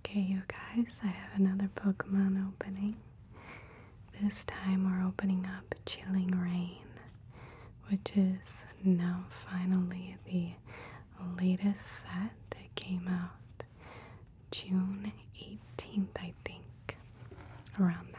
Okay, you guys, I have another Pokemon opening. This time we're opening up Chilling Rain, which is now finally the latest set that came out June 18th, I think, around that.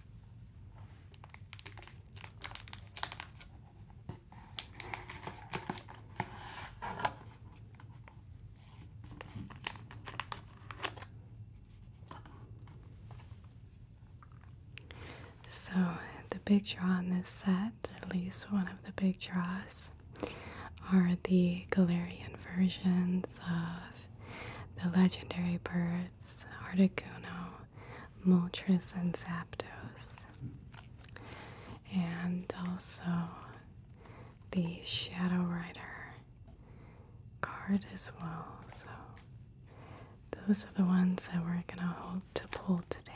So, the big draw on this set, at least one of the big draws, are the Galarian versions of the legendary bird Snorlax, Multris, and Zapdos. And also the Shadow Rider card as well. So those are the ones that we're gonna hope to pull today.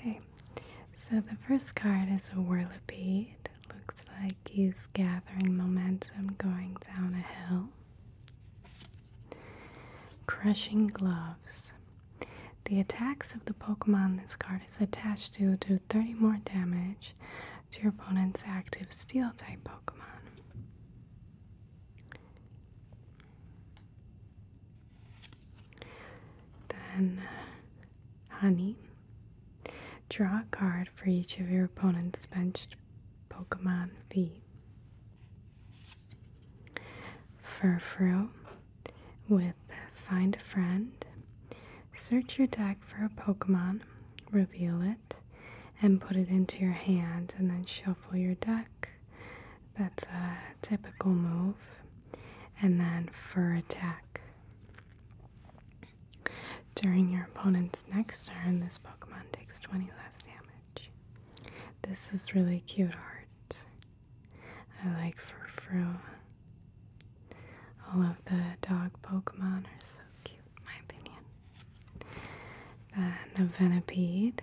Okay, so the first card is a whirlipede. looks like he's gathering momentum going down a hill. Crushing gloves. The attacks of the Pokemon this card is attached to do 30 more damage to your opponent's active steel type Pokemon. Then, Honey. Draw a card for each of your opponent's benched Pokemon V. Furfru with Find a Friend. Search your deck for a Pokemon, reveal it, and put it into your hand, and then shuffle your deck. That's a typical move. And then for attack. During your opponent's next turn, this Pokemon takes 20 less damage. This is really cute art. I like Furfru. All of the dog Pokemon are so cute, in my opinion. The a Venipede.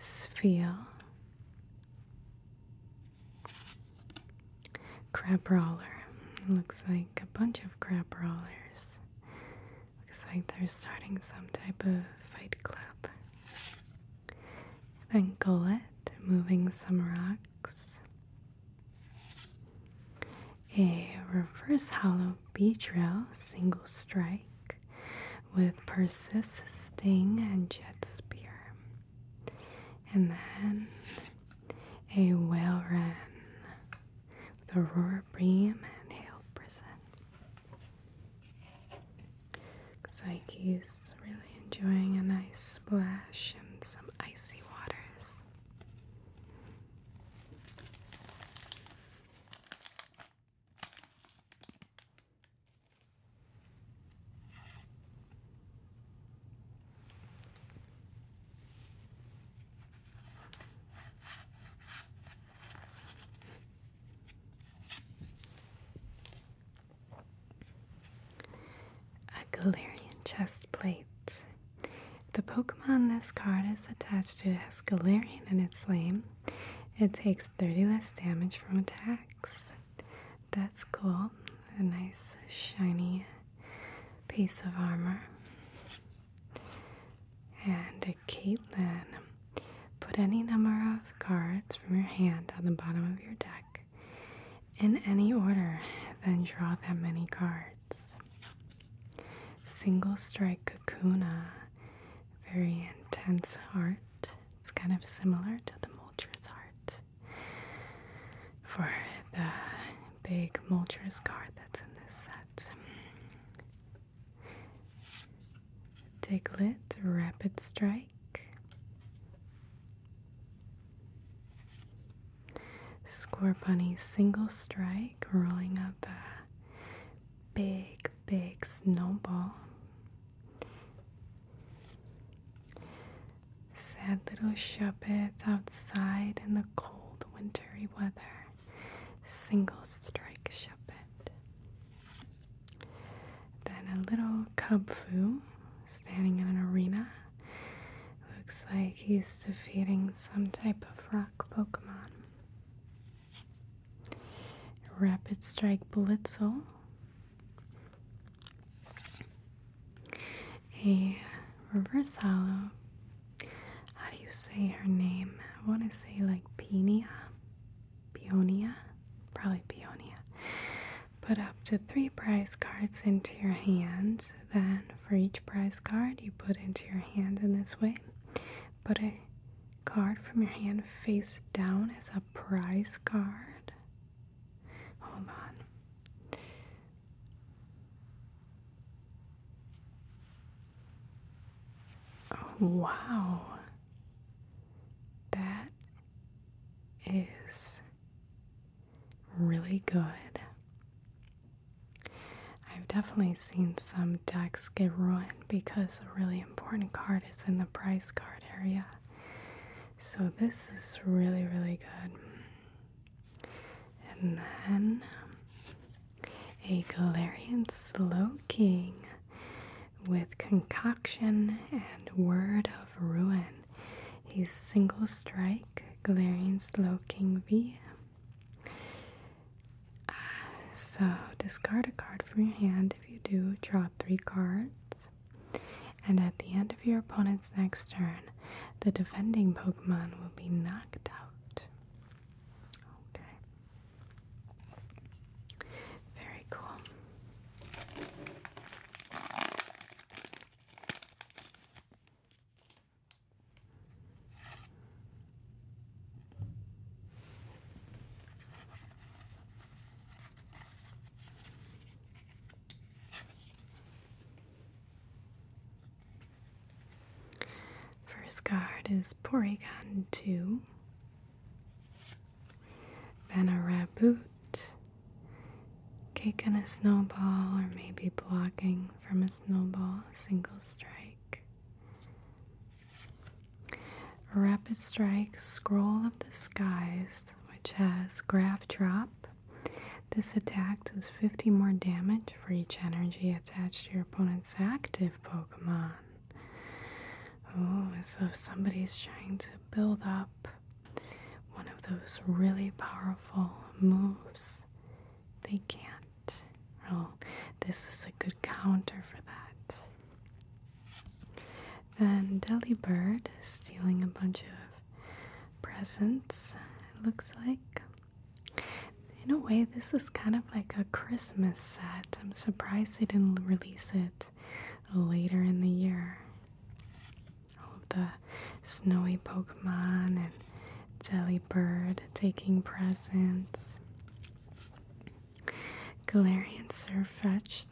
Spheal. Crabrawler. Looks like a bunch of crabrawlers. Looks like they're starting some type of fight club. Then Gullet moving some rocks. A reverse hollow beach rail single strike with Persis Sting and Jet Spear. And then a whale run with Aurora Bream and Hail Prison. Looks like he's really enjoying a nice splash in some icy waters. A Galarian chest plate. The Pokemon this card is attached to has Galarian in its name. It takes 30 less damage from attacks. That's cool. A nice shiny piece of armor. And Caitlin, put any number of cards from your hand on the bottom of your deck in any order, then draw that many cards. Single strike kakuna, very intense heart. It's kind of similar to the Moltres heart. For the big Moltres card that's in this set. Diglett Rapid Strike. Score Bunny Single Strike, rolling up a big, big snowball. Sad little Shuppets outside in the cold, wintry weather single strike Shuppet. Then a little Cub Fu standing in an arena. Looks like he's defeating some type of rock Pokemon. Rapid Strike Blitzel. A River Salo. How do you say her name? I want to say like Penia. Peonia, probably Peonia. Put up to three prize cards into your hand. Then, for each prize card you put into your hand in this way, put a card from your hand face down as a prize card. Hold on wow. That is really good. I've definitely seen some decks get ruined because a really important card is in the price card area. So this is really, really good. And then a Galarian Slowking with Concoction and Word of Ruin. He's single strike Galarian Slowking V. Ah, so discard a card from your hand. If you do, draw three cards. And at the end of your opponent's next turn, the defending Pokemon will be knocked out. Okay. Very cool. First card is Porygon 2. Then a raboot, cake on a snowball, or maybe blocking from a snowball, a single strike. rapid strike, scroll of the skies, which has graph drop. This attack does 50 more damage for each energy attached to your opponent's active Pokemon. Oh, so if somebody's trying to build up one of those really powerful moves, they can't. Oh, this is a good counter for that. Then Delibird stealing a bunch of presents, it looks like. In a way, this is kind of like a Christmas I'm surprised they didn't release it later in the year. All of the snowy Pokemon and Delibird taking presents. Galarian Surfetched.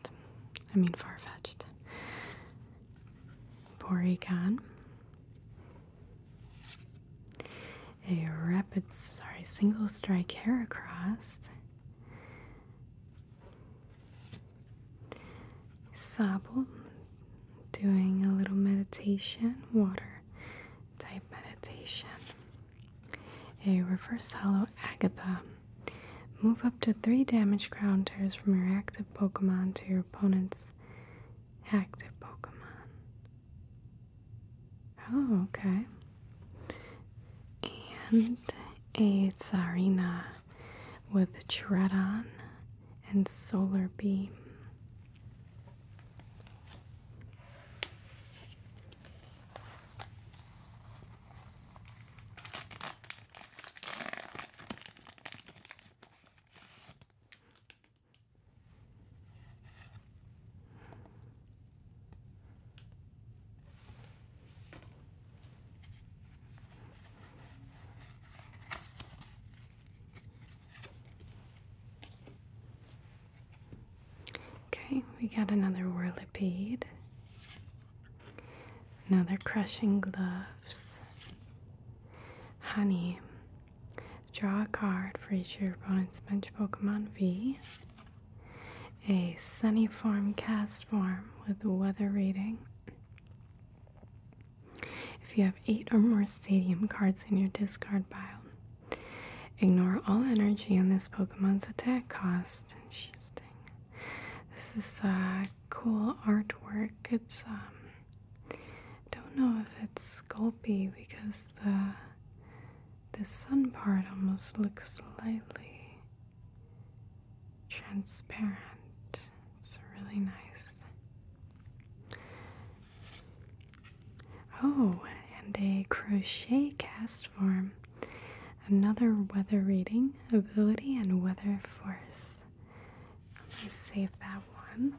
I mean far-fetched. Porygon a rapid, sorry, single strike hair across. Sable doing a little meditation, water type meditation. A reverse hollow Agatha. Move up to three damage counters from your active Pokemon to your opponent's active Pokemon. Oh, okay. And a Tsarina with Dreadon and Solar Beam. Okay, we got another whirlipede, another crushing gloves, honey. Draw a card for each of your opponent's bench Pokemon V a sunny form cast form with weather reading. If you have eight or more stadium cards in your discard pile, ignore all energy on this Pokemon's attack cost. Interesting. This is a uh, cool artwork. It's um, don't know if it's Sculpey because the the sun part almost looks slightly transparent. It's really nice. Oh, and a crochet cast form. Another weather reading ability and weather force. Let me save that one.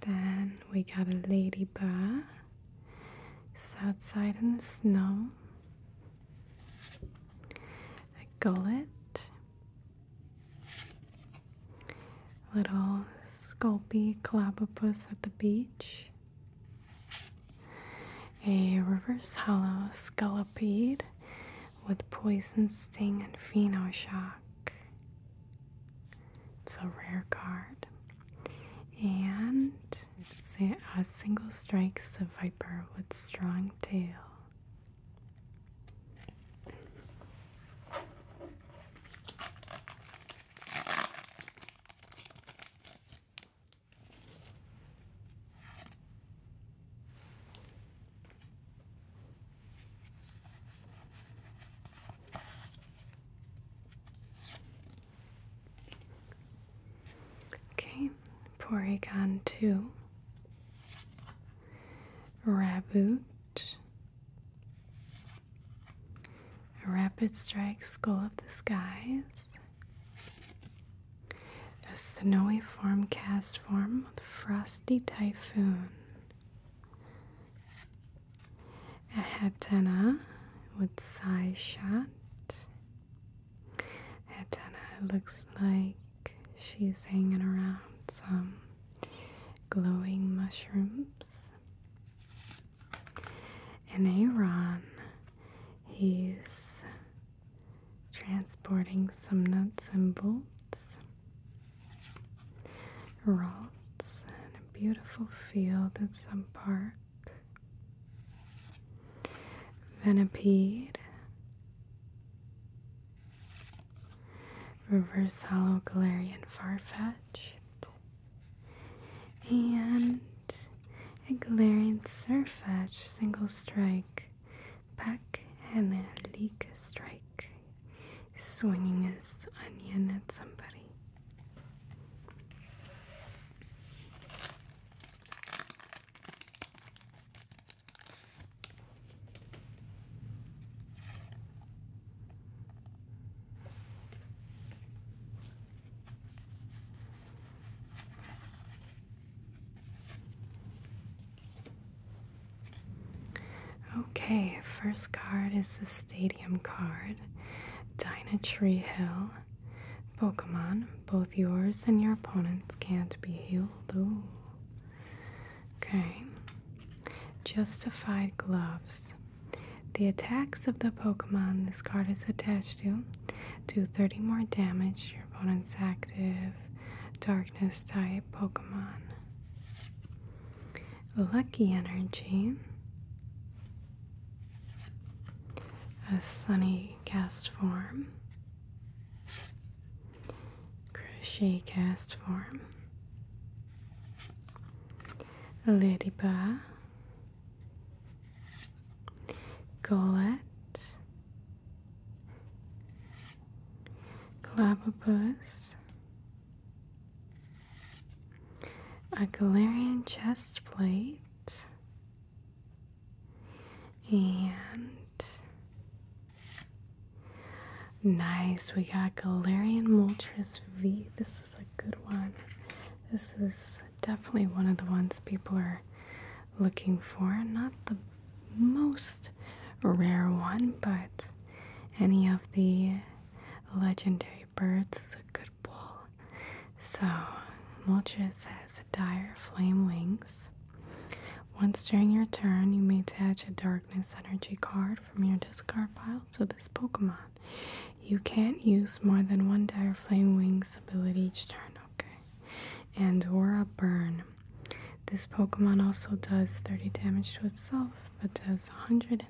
Then we got a ladybug. It's outside in the snow. A gullit. Little sculpy clobopus at the beach. A reverse hollow scullipede with poison sting and pheno shock. It's a rare card. And a, single strikes the viper with strong tail. Okay, Porygon 2, Raboot, Rapid Strike Skull of the Skies, a snowy form cast form with Frosty Typhoon. I have Dana with side shot. Hetana looks like she's hanging around some glowing mushrooms. And Aaron, he's transporting some nuts and bolts. Raw it's in a beautiful field at some park. Venipede, reverse hollow Galarian Farfetch'd, and a Galarian Surfetch single strike, back and a leak strike, swinging his onion at somebody. Okay, first card is this Stadium card, Dynatree Hill, Pokemon, both yours and your opponents can't be healed. Okay. Justified Gloves. The attacks of the Pokemon this card is attached to do 30 more damage your opponent's active darkness type Pokemon. Lucky Energy a sunny cast form, crochet cast form, ladybug, gullet, clavopus, a Galarian chest plate, and nice, we got Galarian Moltres V. This is a good one. This is definitely one of the ones people are looking for. Not the most rare one, but any of the legendary birds is a good football. So, Moltres has dire flame wings. Once during your turn, you may attach a darkness energy card from your discard pile to this Pokemon. You can't use more than one dire flame wings ability each turn, okay? And Aura Burn. This Pokemon also does 30 damage to itself, but does 190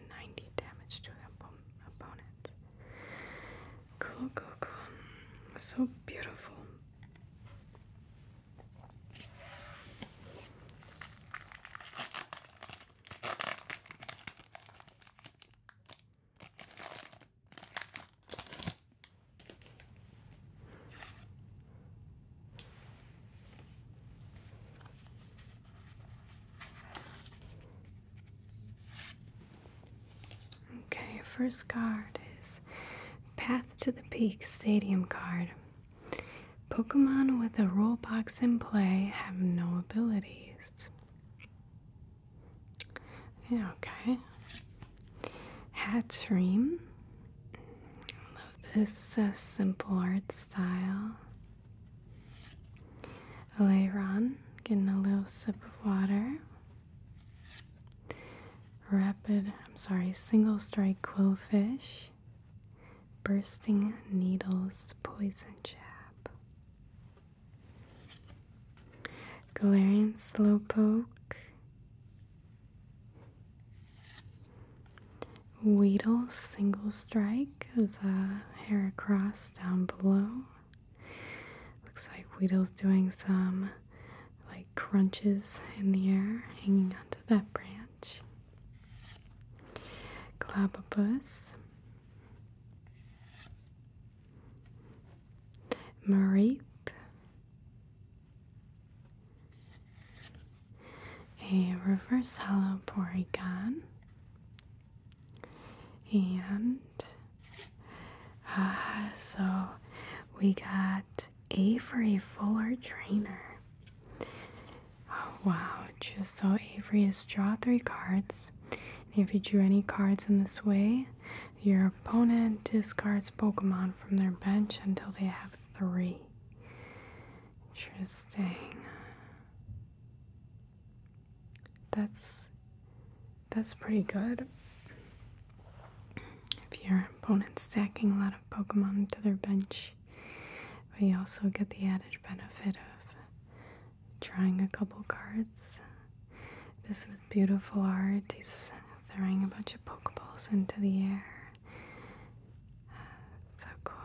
damage to the opponent. Cool, cool, cool. So beautiful. Okay, first card is Path to the Peak Stadium card. Pokemon with a rule box in play have no abilities. Yeah, okay. Hatream. Love this uh, simple art style. Okay, Ron, getting a little sip of water. Rapid, I'm sorry, single strike quillfish. Bursting needles, poison jab. Galarian slowpoke. Weedle single strike is a hair across down below. Looks like Guido's doing some like crunches in the air, hanging onto that branch. Globabus. Marape. A reverse hollow Porygon and uh, so we got Avery Fuller Trainer. Oh, wow, just so Avery is draw three cards. if you drew any cards in this way, your opponent discards Pokemon from their bench until they have three. Interesting. That's that's pretty good. If your opponent's stacking a lot of Pokemon to their bench, but you also get the added benefit of drawing a couple cards. This is beautiful art. He's throwing a bunch of Pokeballs into the air. Uh, so cool.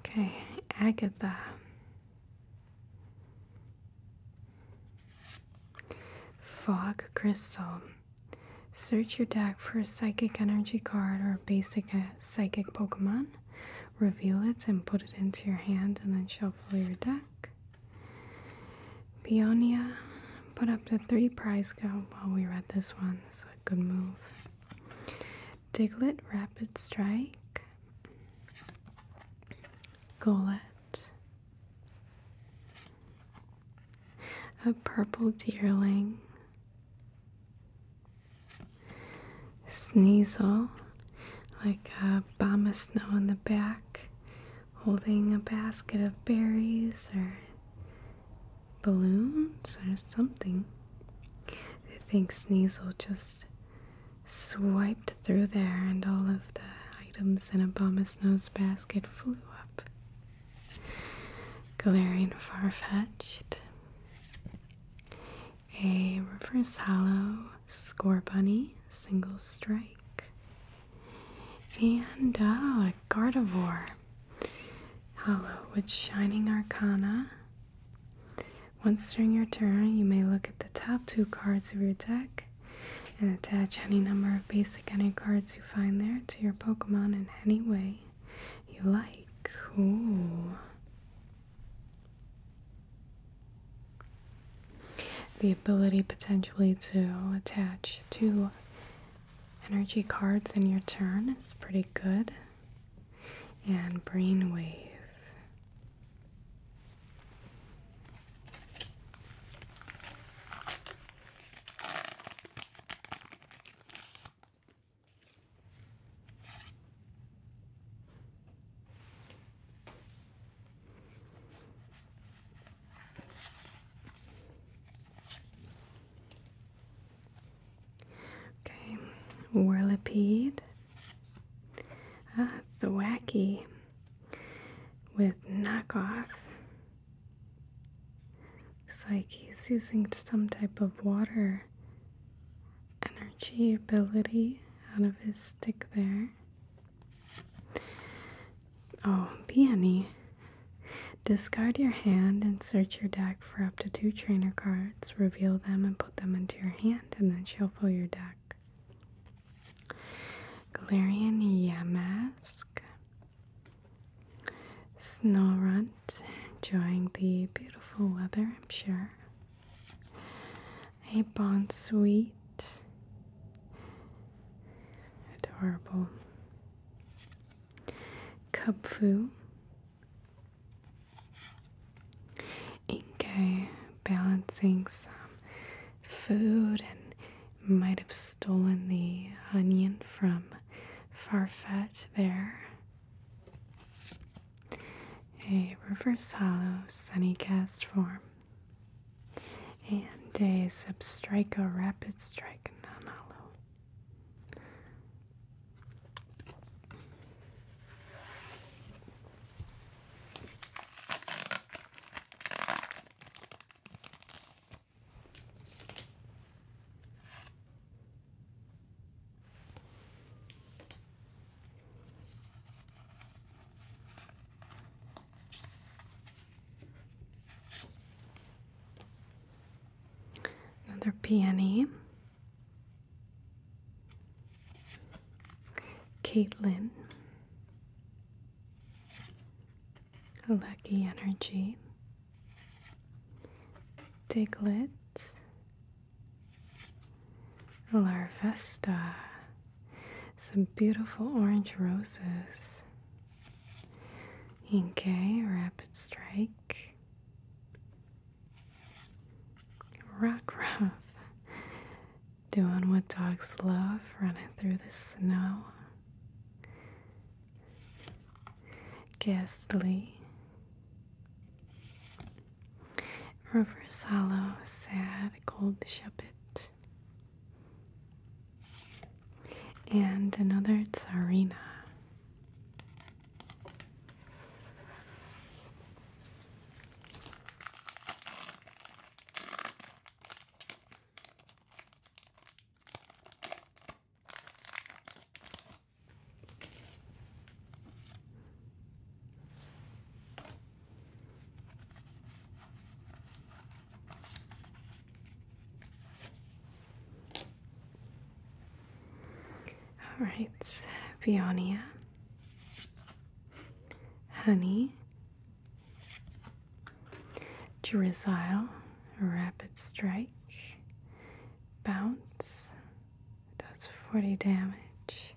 Okay, Agatha. Fog Crystal. Search your deck for a psychic energy card or a basic uh, psychic Pokemon. Reveal it and put it into your hand and then shuffle your deck. Peonia put up to three prize go. while we read this one. It's a good move. Diglet, Rapid Strike, Golette, a purple dearling, Sneasel, like a bomb of snow in the back, holding a basket of berries or balloons or something. I think Sneasel just swiped through there, and all of the items in Obama's nose basket flew up. Glaring, far-fetched. a Reverse Hollow Score Bunny Single Strike, and oh, a Gardevoir Hollow with Shining Arcana. Once during your turn, you may look at the top two cards of your deck and attach any number of basic energy cards you find there to your Pokemon in any way you like. Ooh. The ability potentially to attach two energy cards in your turn is pretty good. And brainwave. Okay, whirlipede Ah, the wacky with knockoff. Looks like he's using some type of water energy ability out of his stick there. Oh, peony. Discard your hand and search your deck for up to two trainer cards. Reveal them and put them into your hand, and then shuffle your deck. Galarian Yamask. Snow Runt, enjoying the beautiful weather, I'm sure. A Bon Sweet. Adorable. Cub Inko balancing some food and might have stolen the onion from Farfetch there. A reverse hollow sunny cast form. And a a rapid strike non Another peony. Caitlin, Lucky Energy, Diglett, Larvesta, some beautiful orange roses, Inkay, Rapid Strike, Rockruff, Doing what dogs love, running through the snow. Ghastly. Reverse hollow, sad, cold shepherd. And another tsarina. All right, Peonia honey, drizzle, rapid strike, bounce, does 40 damage,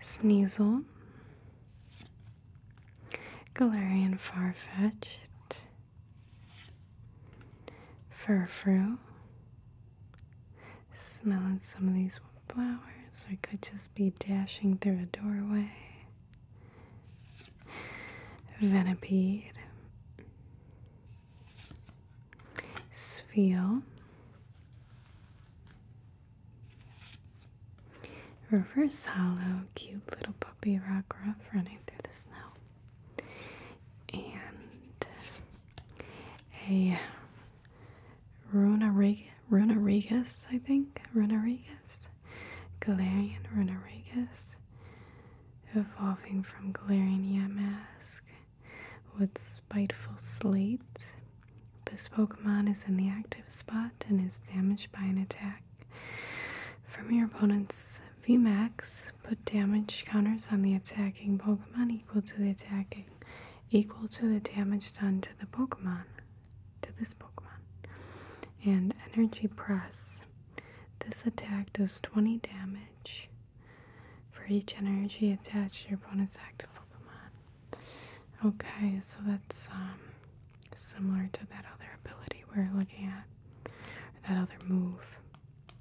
sneasel, Galarian Farfetch'd, Furfru, smelling some of these flowers. I could just be dashing through a doorway. Venipede. Spheal. Reverse hollow, cute little puppy rock ruff running through the snow. And a Runarigus, I think. Runarigus. Galarian Runarigus. Evolving from Galarian Mask with Spiteful Slate. This Pokemon is in the active spot and is damaged by an attack. From your opponent's VMAX, put damage counters on the attacking Pokemon equal to the attack equal to the damage done to the Pokemon, to this Pokemon. And Energy Press. This attack does 20 damage for each energy attached to your opponent's active Pokemon. Okay, so that's um, similar to that other ability we are looking at, that other move.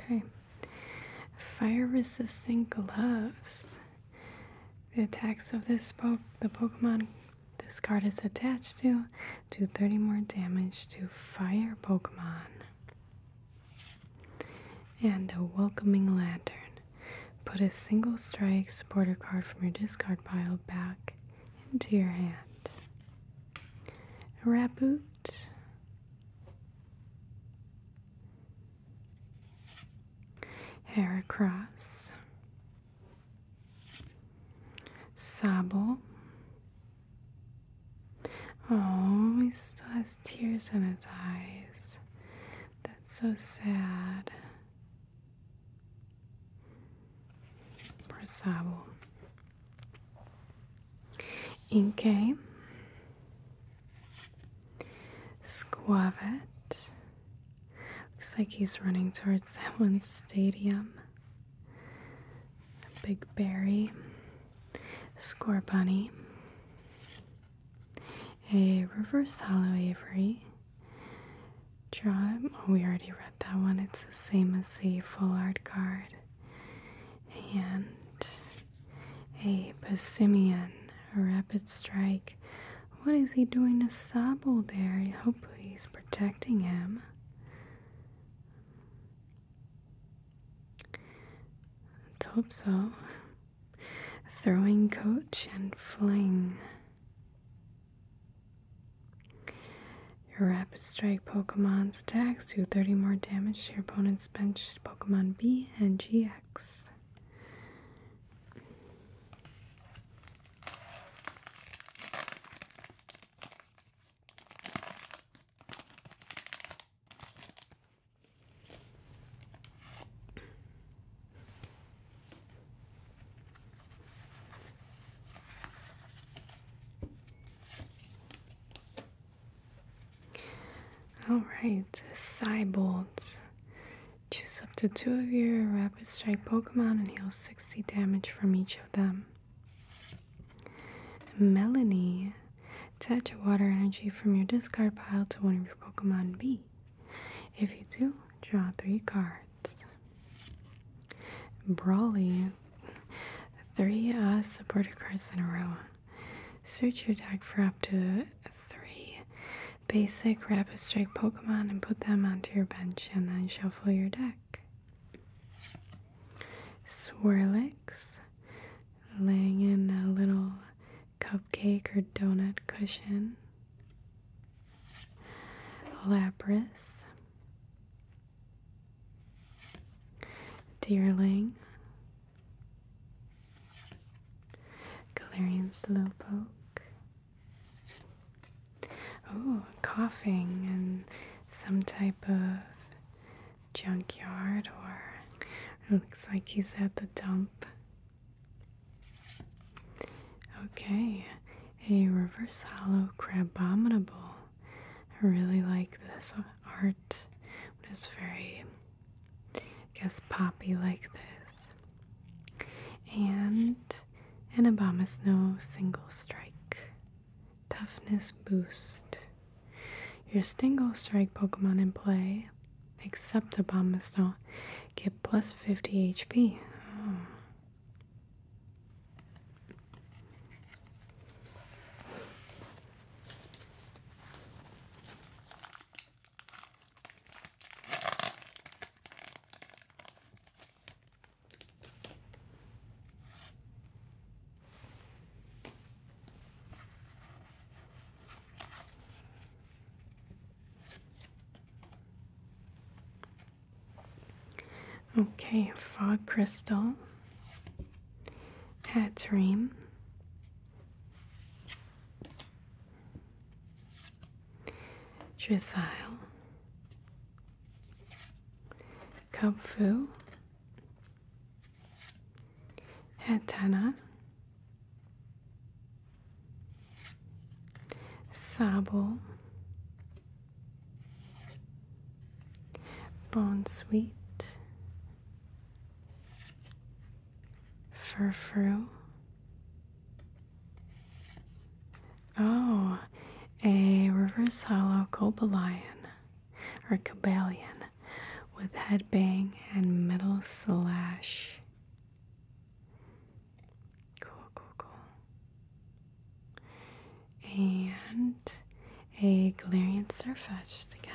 Okay. Fire resistant gloves. The attacks of this po the Pokemon this card is attached to do 30 more damage to fire Pokemon. And a welcoming lantern. Put a single strike supporter card from your discard pile back into your hand. Raboot hair across, sable. Oh, he still has tears in his eyes. That's so sad. Poor Sabo. Inke. Squavet. Looks like he's running towards that one stadium. big berry. Score bunny. A reverse hollow Avery. Draw. Oh, we already read that one. It's the same as the full art card. And a Passimian, a rapid strike. What is he doing to Sable there? I hope he's protecting him. Let's hope so. Throwing coach and fling. Your rapid strike Pokemon's attacks do 30 more damage to your opponent's bench Pokemon B and GX. Alright, Cybolts. Choose up to two of your Rapid Strike Pokemon and heal 60 damage from each of them. Melanie. Attach water energy from your discard pile to one of your Pokemon B. If you do, draw three cards. Brawly. Three uh, support cards in a row. Search your deck for up to three basic rapid strike Pokemon and put them onto your bench and then shuffle your deck. Swirlix, laying in a little cupcake or donut cushion. Lapras. dearling. Galarian Slowpoke. Oh, coughing and some type of junkyard, or looks like he's at the dump. Okay, a reverse hollow crabominable. I really like this art. It is very guess poppy like this, and an Obama single strike. Toughness boost. Your single strike Pokemon in play, except Obama Snow, get plus 50 HP. Oh. Okay, Fog Crystal, Hat Dream, Dressage, Kung Fu, Hatana, Sabo, Bon Sweet, Furfru. Oh, a reverse hollow cobalion or cobalion with headbang and metal slash. Cool, cool, cool. And a glarian Surfetched again.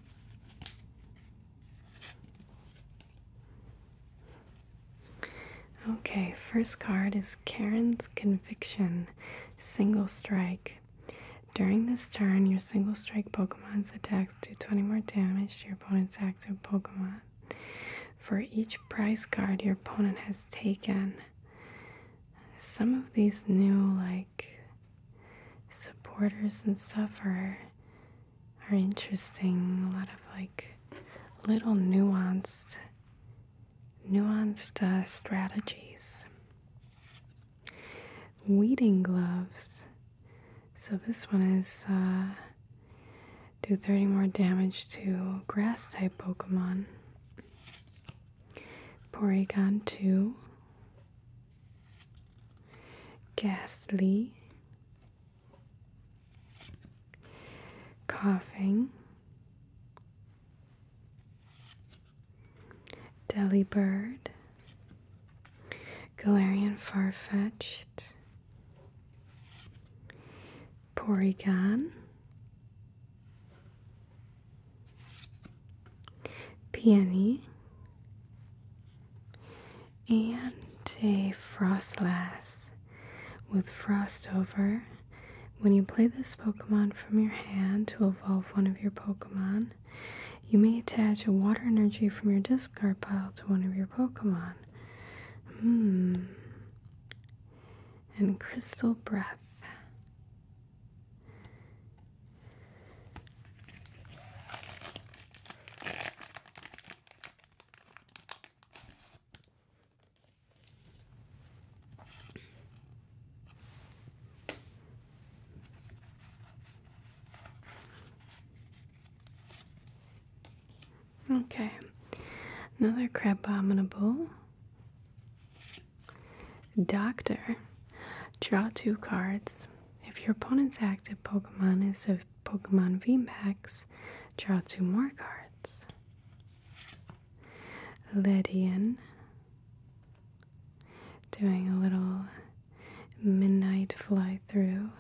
Okay, first card is Karen's Conviction Single Strike. During this turn, your single strike Pokemon's attacks do 20 more damage to your opponent's active Pokemon. For each prize card your opponent has taken, some of these new, like supporters and stuff are are interesting. A lot of like little nuanced nuanced uh, strategies. Weeding gloves. So this one is uh, do 30 more damage to grass type Pokemon. Porygon 2 ghastly, coughing, delibird, Galarian far-fetched, Porygon, peony, and a frostlass with frost over. When you play this Pokemon from your hand to evolve one of your Pokemon, you may attach a water energy from your discard pile to one of your Pokemon. Hmm. And Crystal Breath. Okay, another crab abominable. Doctor. Draw two cards. If your opponent's active Pokemon is a Pokemon VMAX, draw two more cards. Lydian. Doing a little midnight fly through.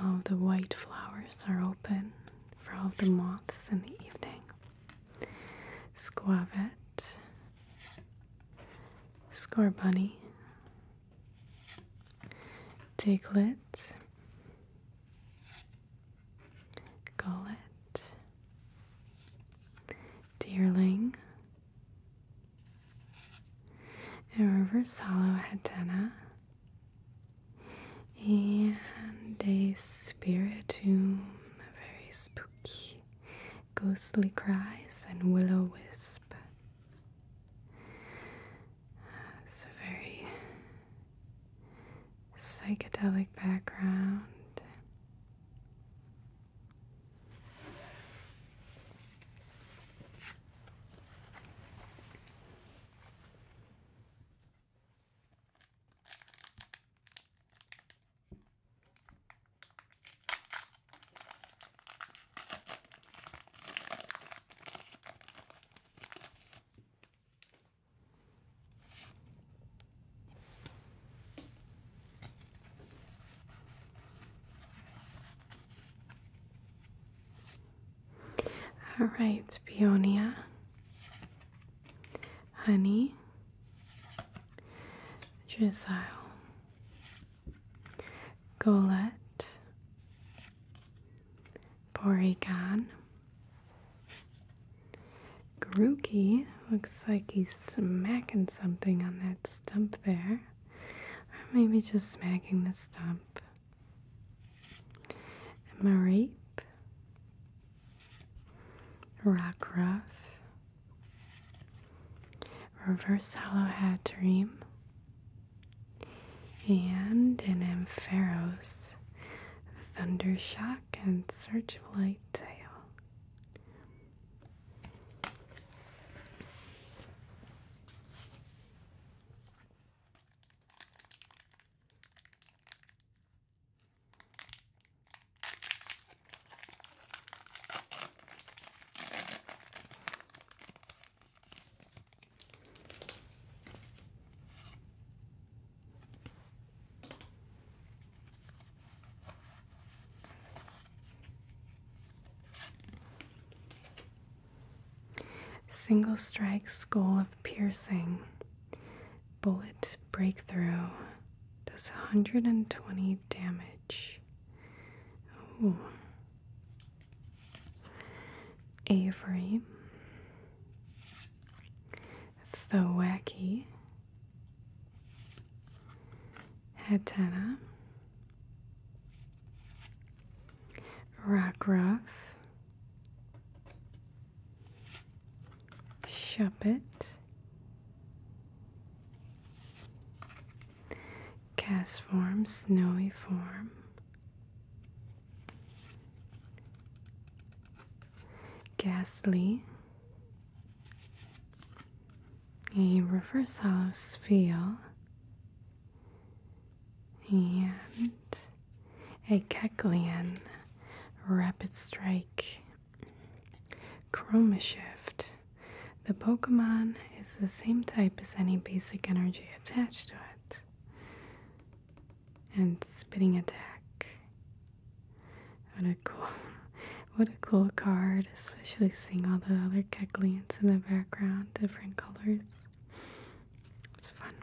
All the white flowers are open for all the moths in the evening. Squavet. Scar Bunny, Diglett, Gullet, Deerling, and Reverse Hollow Hatena, and a Spiritomb, very spooky ghostly cries, and willow wisp. It's a very psychedelic background. All right, Peonia, Honey, Drizzle, Golet, Porygon, Grookey. Looks like he's smacking something on that stump there. Or maybe just smacking the stump. Marape, Rockruff, reverse hollow hat dream, and an Ampharos thunder shock and searchlight tail. Single strike skull of piercing. Bullet breakthrough does 120 damage. Ooh. Avery, Thwacky, Hatena, Rockruff, Shuppet, Cast form, snowy form. Ghastly. A reverse hollow sphere. And a Keklian rapid strike chroma shift the Pokemon is the same type as any basic energy attached to it. And spitting attack. What a cool what a cool card, especially seeing all the other Kecklians in the background, different colors. It's fun.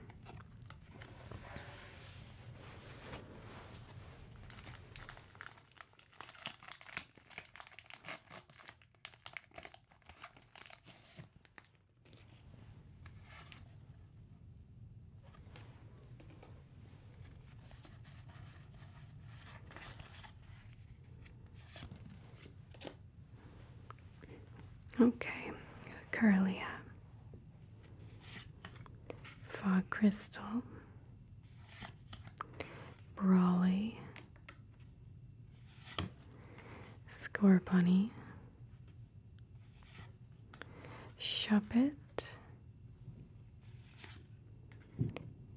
Okay, Curlia, Fog Crystal, Brawly, Score Bunny, Shuppet,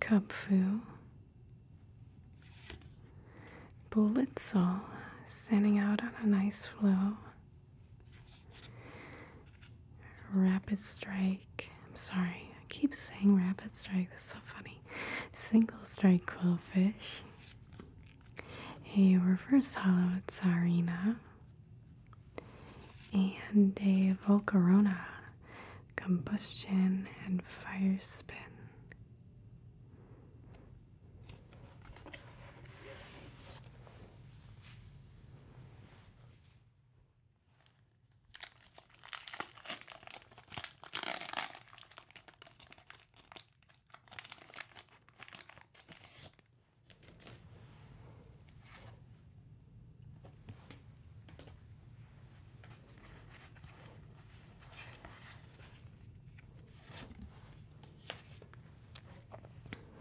Kung Fu, Bullet sending out on a nice flow, Rapid Strike. I'm sorry. I keep saying rapid strike. That's so funny. Single strike quillfish. A reverse hollowed sarina. And a volcarona. Combustion and fire spin.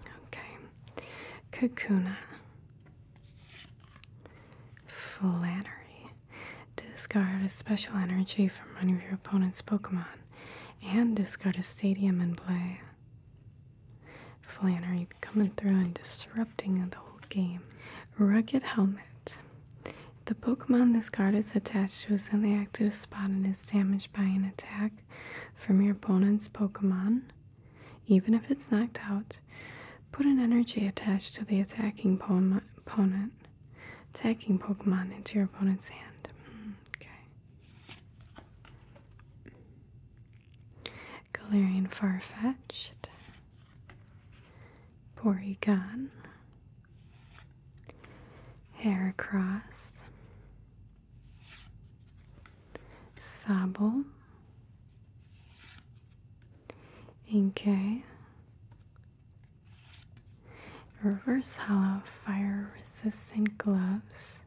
Okay, Kakuna. Flattery. Discard a special energy from one of your opponent's Pokemon and discard a stadium in play. Flattery coming through and disrupting the whole game. Rugged Helmet. The Pokemon this is attached to a in active spot and is damaged by an attack from your opponent's Pokemon. Even if it's knocked out, Put an energy attached to the attacking opponent, attacking Pokemon into your opponent's hand. Mm, okay. Galarian Farfetch'd. Porygon. Heracross. Sobble. Okay. Reverse hollow fire resistant gloves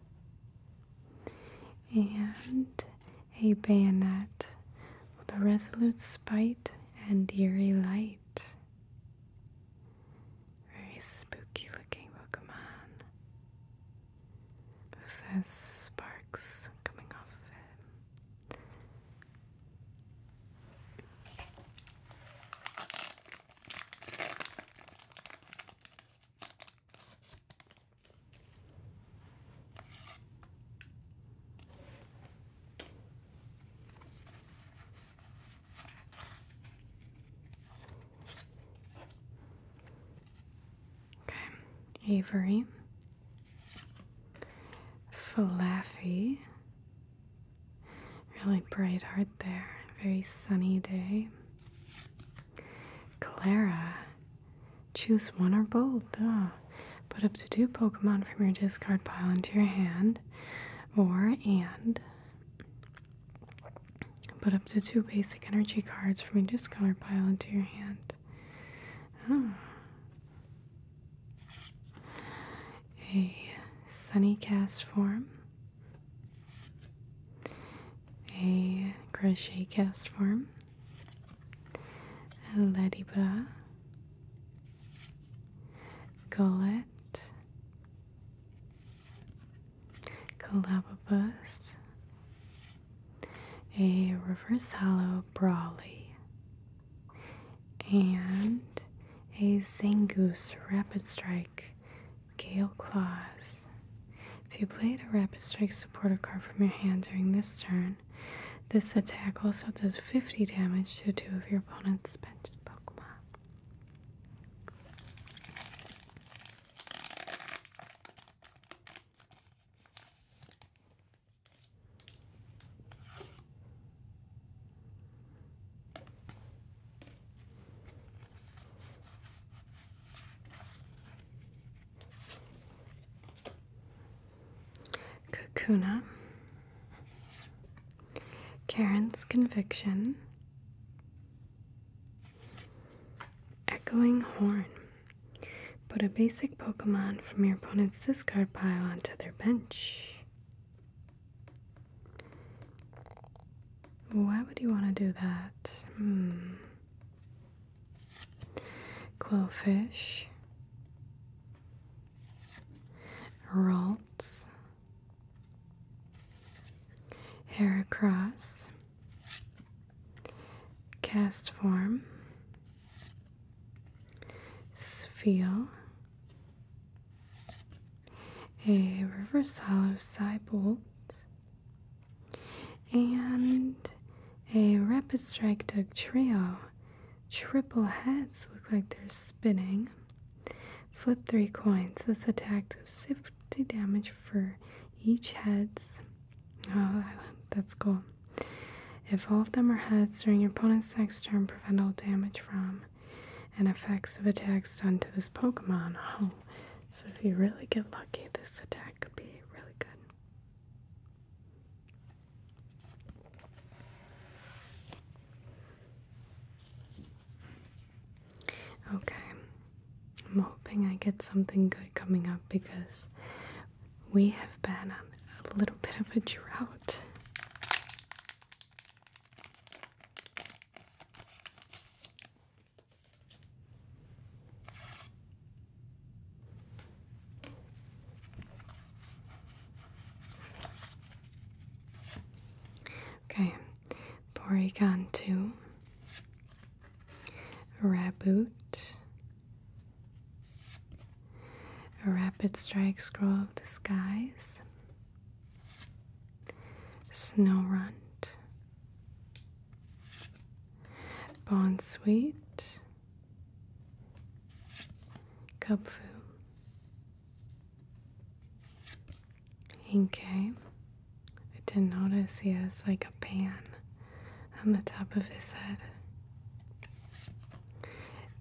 and a bayonet with a resolute spite and eerie light. Very spooky looking Pokemon. Who sparks coming off of him? Okay, Avery Fluffy. Really bright heart there. Very sunny day. Clara. Choose one or both. Ah, put up to two Pokemon from your discard pile into your hand. Or and. Put up to two basic energy cards from your discard pile into your hand. A sunny cast form, a crochet cast form, a lediba, gullet, Calababus, a reverse hollow brawly, and a Zangoose Rapid Strike Gale Claws. If you played a Rapid Strike supporter card from your hand during this turn, this attack also does 50 damage to two of your opponent's Pokemon. Kakuna, Karen's Conviction, Echoing Horn. Put a basic Pokemon from your opponent's discard pile onto their bench. Why would you want to do that? Hmm. Quillfish. Ralts. Heracross. Cast form sphere, a reverse hollow side bolt, and a rapid strike tug trio. Triple heads look like they're spinning. Flip three coins. This attack does 50 damage for each heads. Oh, that's cool. If all of them are heads during your opponent's next turn, prevent all damage from and effects of attacks done to this Pokemon. Oh, so if you really get lucky, this attack could be really good. Okay, I'm hoping I get something good coming up because we have been on a little bit of a drought. Okay, Porygon Raboot, a rapid strike scroll of the skies. Snow Runt. Bond Sweet. Kubfu. Inke. Eh? I didn't notice he has like a pan on the top of his head.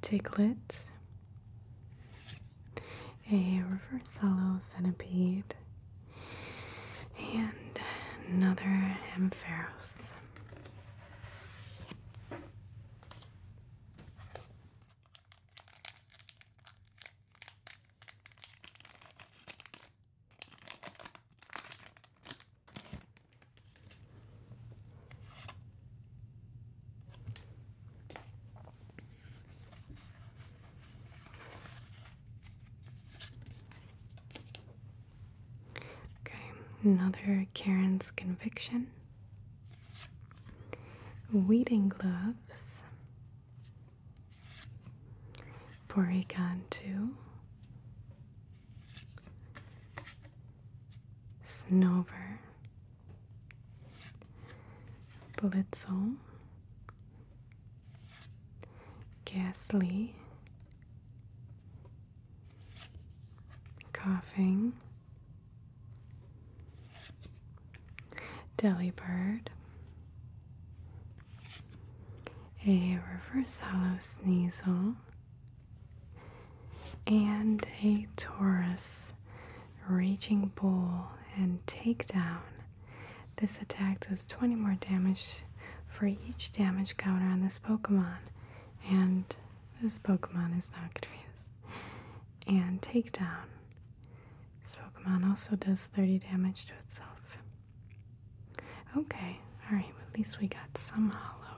Diglett, a reverse hollow Fenipede, and another Ampharos. Okay, another Karen's conviction. Weeding gloves. Porygon 2. Snowbird, Blitzel, Ghastly, Coughing, Delibird, a Reverse Hollow Sneasel, and a Taurus raging bull and takedown. This attack does 20 more damage for each damage counter on this Pokemon. And this Pokemon is not confused. And takedown. This Pokemon also does 30 damage to itself. Okay, alright, well, at least we got some hollow.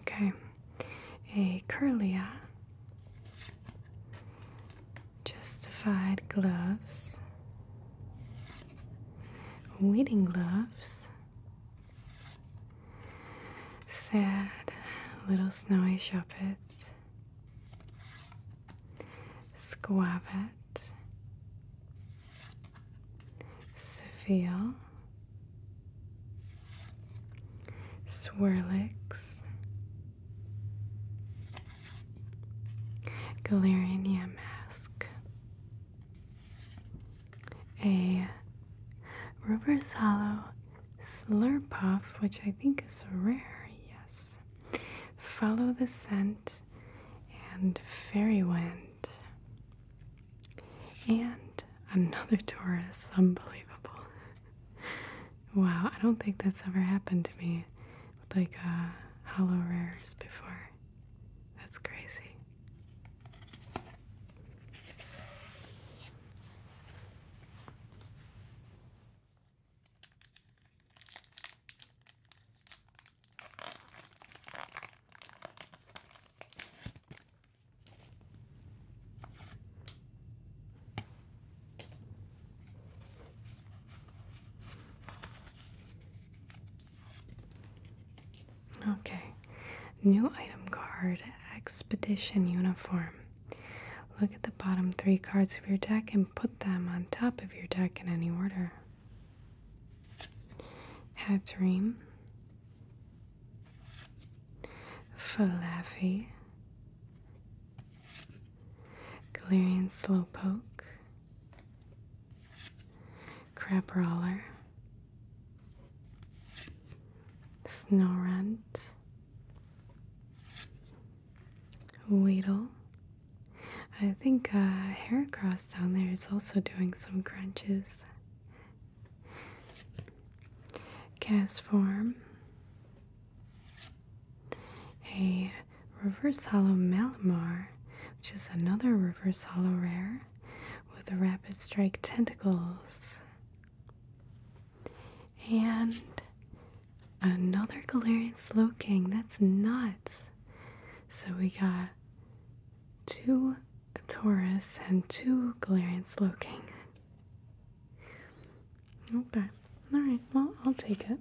Okay, a curlya. justified gloves, Wedding gloves, sad little snowy shuppets, squabbit, seville. Swirlix, Galarinia Mask, a Reverse Hollow Slurpuff, which I think is rare, yes. Follow the Scent and Fairy Wind. And another Taurus. Unbelievable. wow, I don't think that's ever happened to me with like uh, hollow before. That's crazy. Okay, new item card Expedition Uniform. Look at the bottom three cards of your deck and put them on top of your deck in any order. Hatreem, Falafi, Galarian Slowpoke, Crabrawler, Snowrunt, Weedle. I think uh, Haircross down there is also doing some crunches. Gas form. A reverse hollow Malamar, which is another reverse hollow rare with rapid strike tentacles. And another Galarian Slowking. That's nuts. So we got two Taurus and two Galarian's looking. Okay. Alright, well, I'll take it.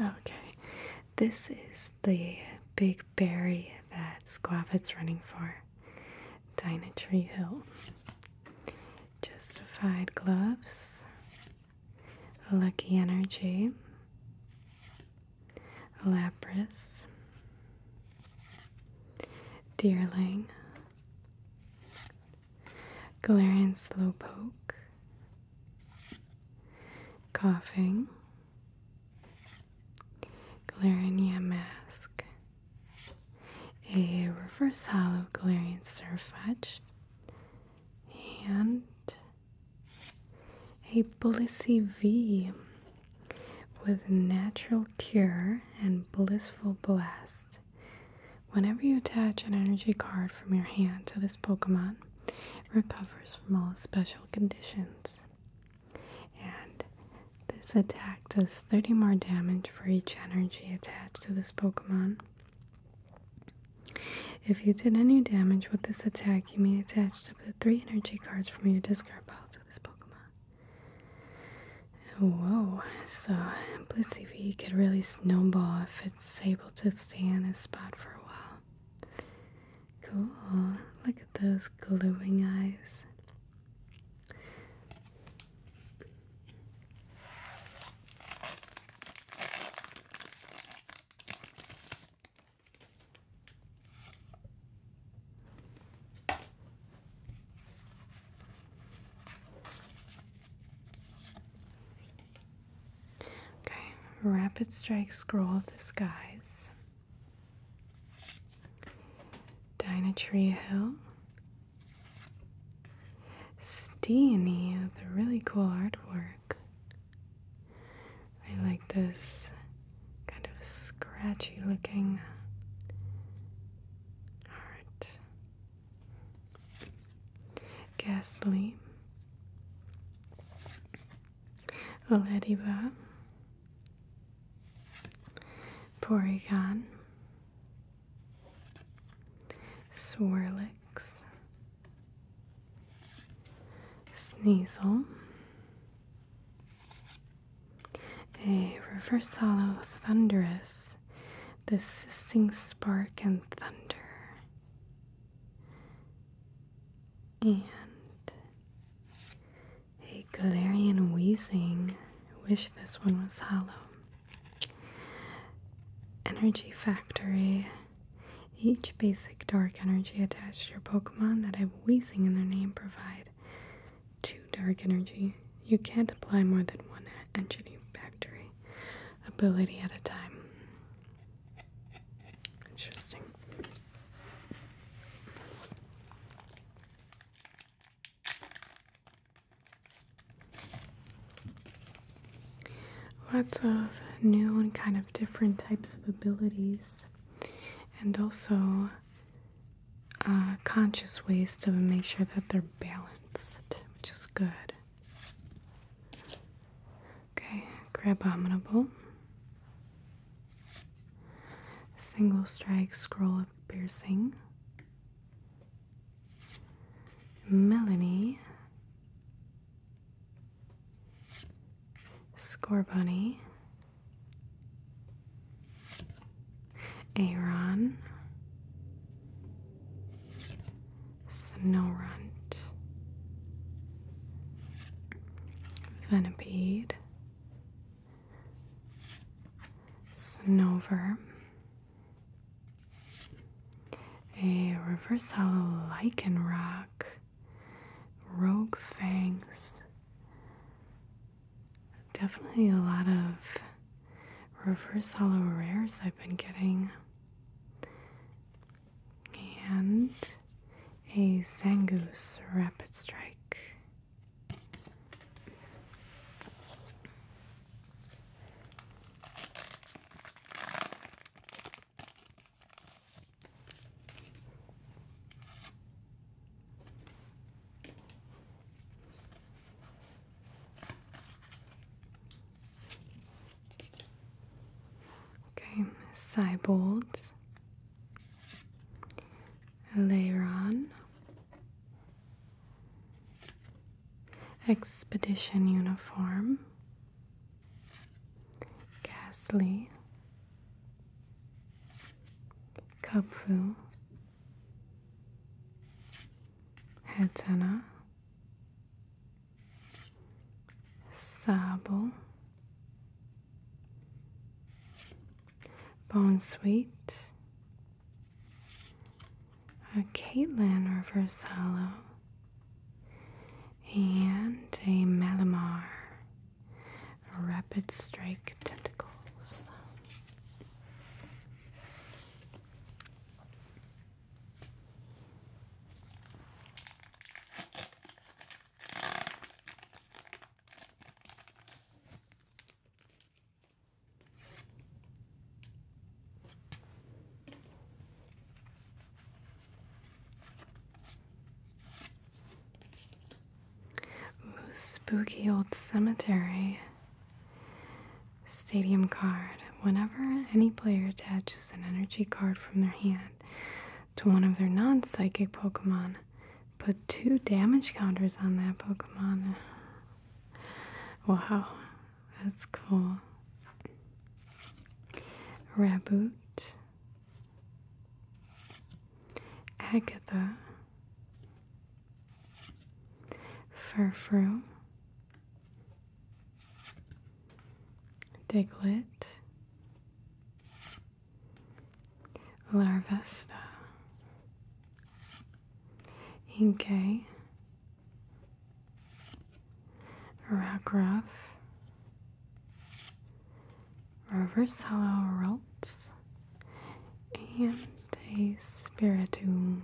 Okay, this is the big berry that Squaffet's running for, Tree Hill. Justified Gloves, Lucky Energy, Lapras, Deerling, Galarian Slowpoke, Coughing, Galarian Mask, a reverse hollow Galarian sirfetch and a blissy V with Natural Cure and Blissful Blast. Whenever you attach an energy card from your hand to this Pokemon, recovers from all special conditions. And this attack does 30 more damage for each energy attached to this Pokemon. If you did any damage with this attack, you may attach up to three energy cards from your discard pile to this Pokemon. Whoa, so Blissey could really snowball if it's able to stay in his spot for a while. Cool, look at those glowing eyes. Okay, rapid strike scroll of the skies. Dinah Tree Hill, Steenie the really cool artwork. I like this kind of scratchy looking art. Ghastly. Olediba. Porygon. Swirlix, Sneasel, a reverse hollow thunderous, the sisting spark and thunder, and a Galarian wheezing. Wish this one was hollow. Energy Factory. Each basic dark energy attached to your Pokemon that have Weezing in their name provide two dark energy. You can't apply more than one Energy Factory ability at a time. Interesting. Lots of new and kind of different types of abilities, and also uh, conscious ways to make sure that they're balanced, which is good. Okay, Grabominable. Single strike, scroll of piercing. Melanie, Score Bunny, Aaron, Snowrunt, Venipede, Snowverm a reverse hollow lichen rock, rogue fangs. Definitely a lot of reverse hollow rares I've been getting. And a Zangoose Rapid Strike. Okay, Cybold, Leiron, Expedition uniform, ghastly, Kubfu, Hetana, Sabo, Bone Sweet, a Caitlin reverse and a Malamar rapid strike tentacles spooky old cemetery. Stadium card. Whenever any player attaches an energy card from their hand to one of their non psychic Pokemon, put two damage counters on that Pokemon. Wow, that's cool. Raboot. Agatha. Furfru. Diglett. Larvesta. Inkay. Ragroff, Reverse Hollow Ralts, and a spiritum.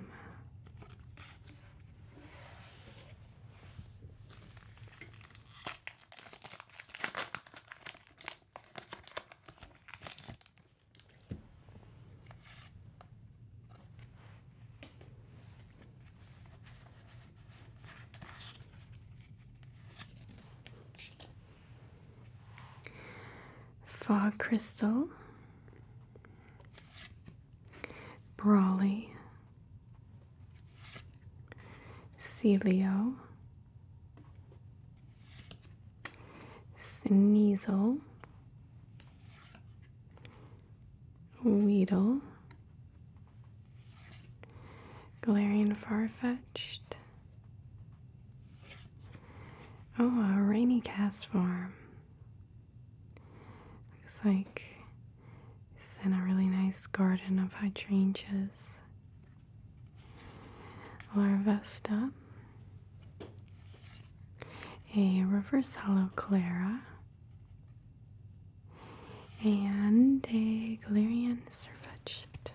Fog Crystal, Brawly, Celio, Sneasel, Weedle, Galarian Farfetched. Oh, a rainy cast form. Looks like it's in a really nice garden of hydrangeas. Larvesta, a reverse hollow Clara, and a Galarian Surfetched.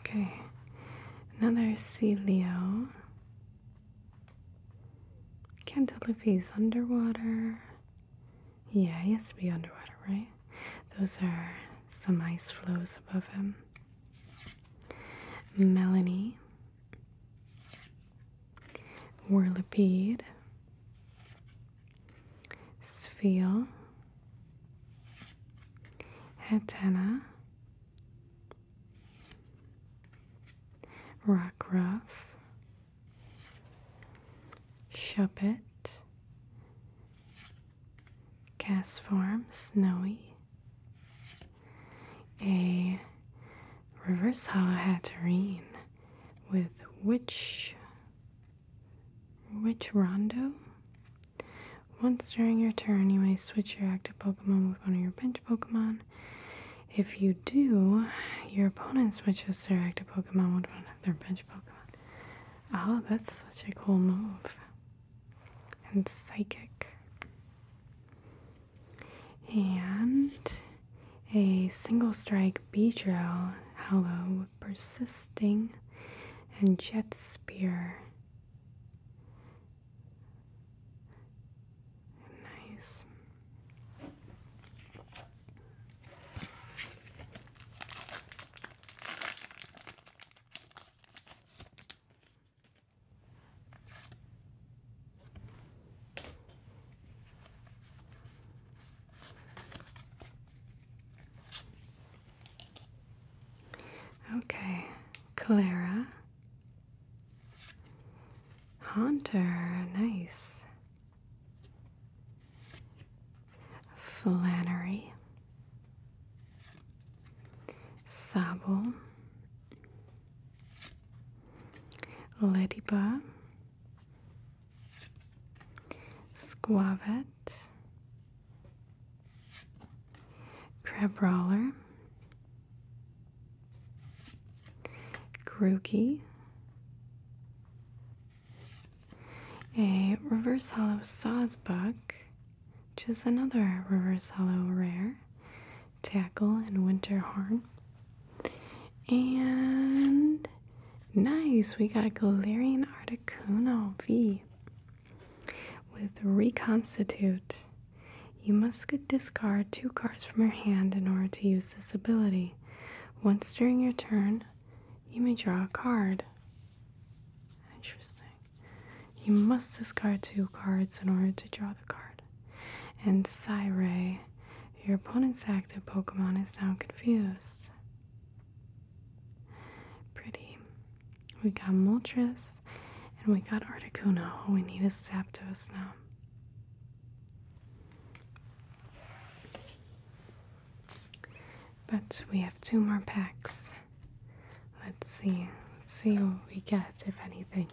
Okay, another sea Leo. Can't tell if he's underwater. Yeah, he has to be underwater, right? Those are some ice floes above him. Melanie, Whirlipede, Sphere, antenna, Hatena, Rockruff, Shuppet, Cast Form, Snowy, a Reverse Hala Hatterene with which which Rondo? Once during your turn, you may switch your active Pokemon with one of your bench Pokemon. If you do, your opponent switches their active Pokemon with one of their bench Pokemon. Oh, that's such a cool move. And Psychic. And a single strike B drill hollow persisting and jet spear. Nice. Okay, Clara. Haunter, nice. Flannery. Sable. Ladyba. Squavet, Crabrawler, Grooky, a Reverse Hollow Sawsbuck, which is another Reverse Hollow rare, Tackle and Winter Horn, and nice, we got Galarian Articuno V with Reconstitute. You must discard two cards from your hand in order to use this ability. Once during your turn, you may draw a card. Interesting. You must discard two cards in order to draw the card. And Psyray, your opponent's active Pokemon is now confused. Pretty. We got Moltres and we got Articuno. All we need a Zapdos now. But we have two more packs. Let's see. Let's see what we get, if anything.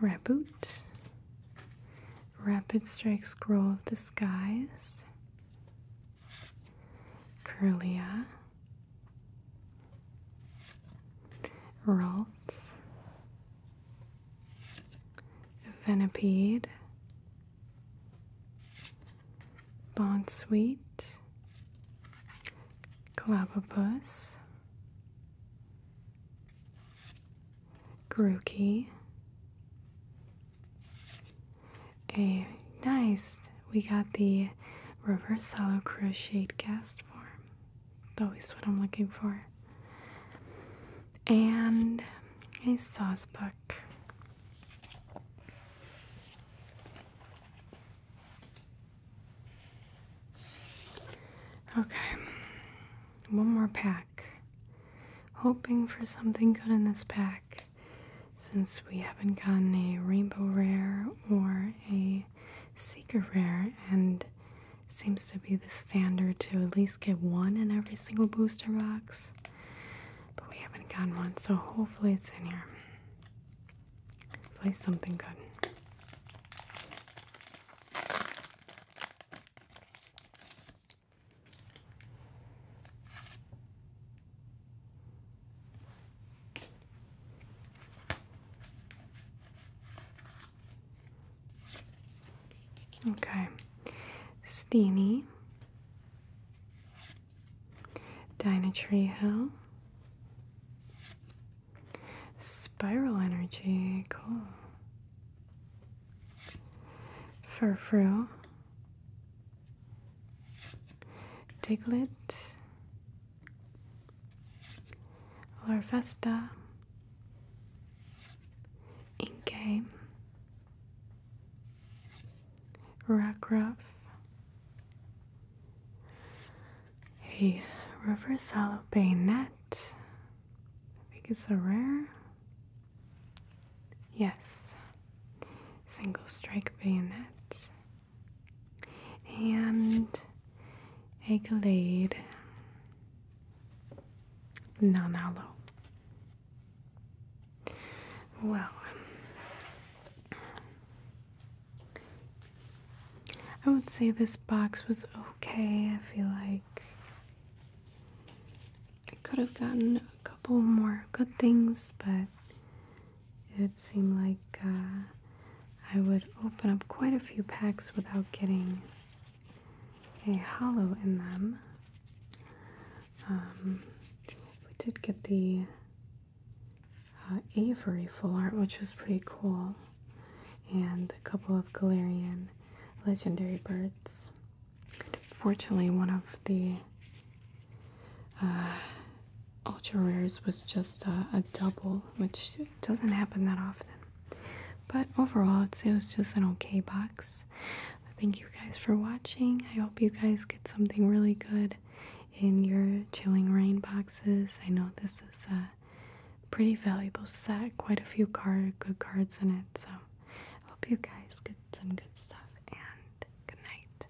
Raboot, Rapid Strike Scroll of Disguise, Curlia, Ralts, Venipede, Bondsweet, Clavopus, Grookey, a nice we got the reverse hollow crocheted cast form. That's always what I'm looking for. And a sauce book. Okay, one more pack. Hoping for something good in this pack since we haven't gotten a rainbow rare or a a seeker rare and seems to be the standard to at least get one in every single booster box. But we haven't gotten one, so hopefully it's in here. Hopefully something good. Okay, Steenie, Dinah Spiral Energy, cool, Furfru, Diglett, or faster in game Rockruff a reverse hollow Net. I think it's a rare yes single strike bayonet and a Glade non aloe. Well, I would say this box was okay. I feel like I could have gotten a couple more good things, but it seemed like uh, I would open up quite a few packs without getting a hollow in them. Um, we did get the uh, Avery full art, which was pretty cool, and a couple of Galarian legendary birds. Fortunately, one of the uh, ultra rares was just a, double, which doesn't happen that often. But overall, i it was just an okay box. Thank you guys for watching. I hope you guys get something really good in your chilling rain boxes. I know this is a pretty valuable set, quite a few good cards in it. So I hope you guys get some good stuff and good night.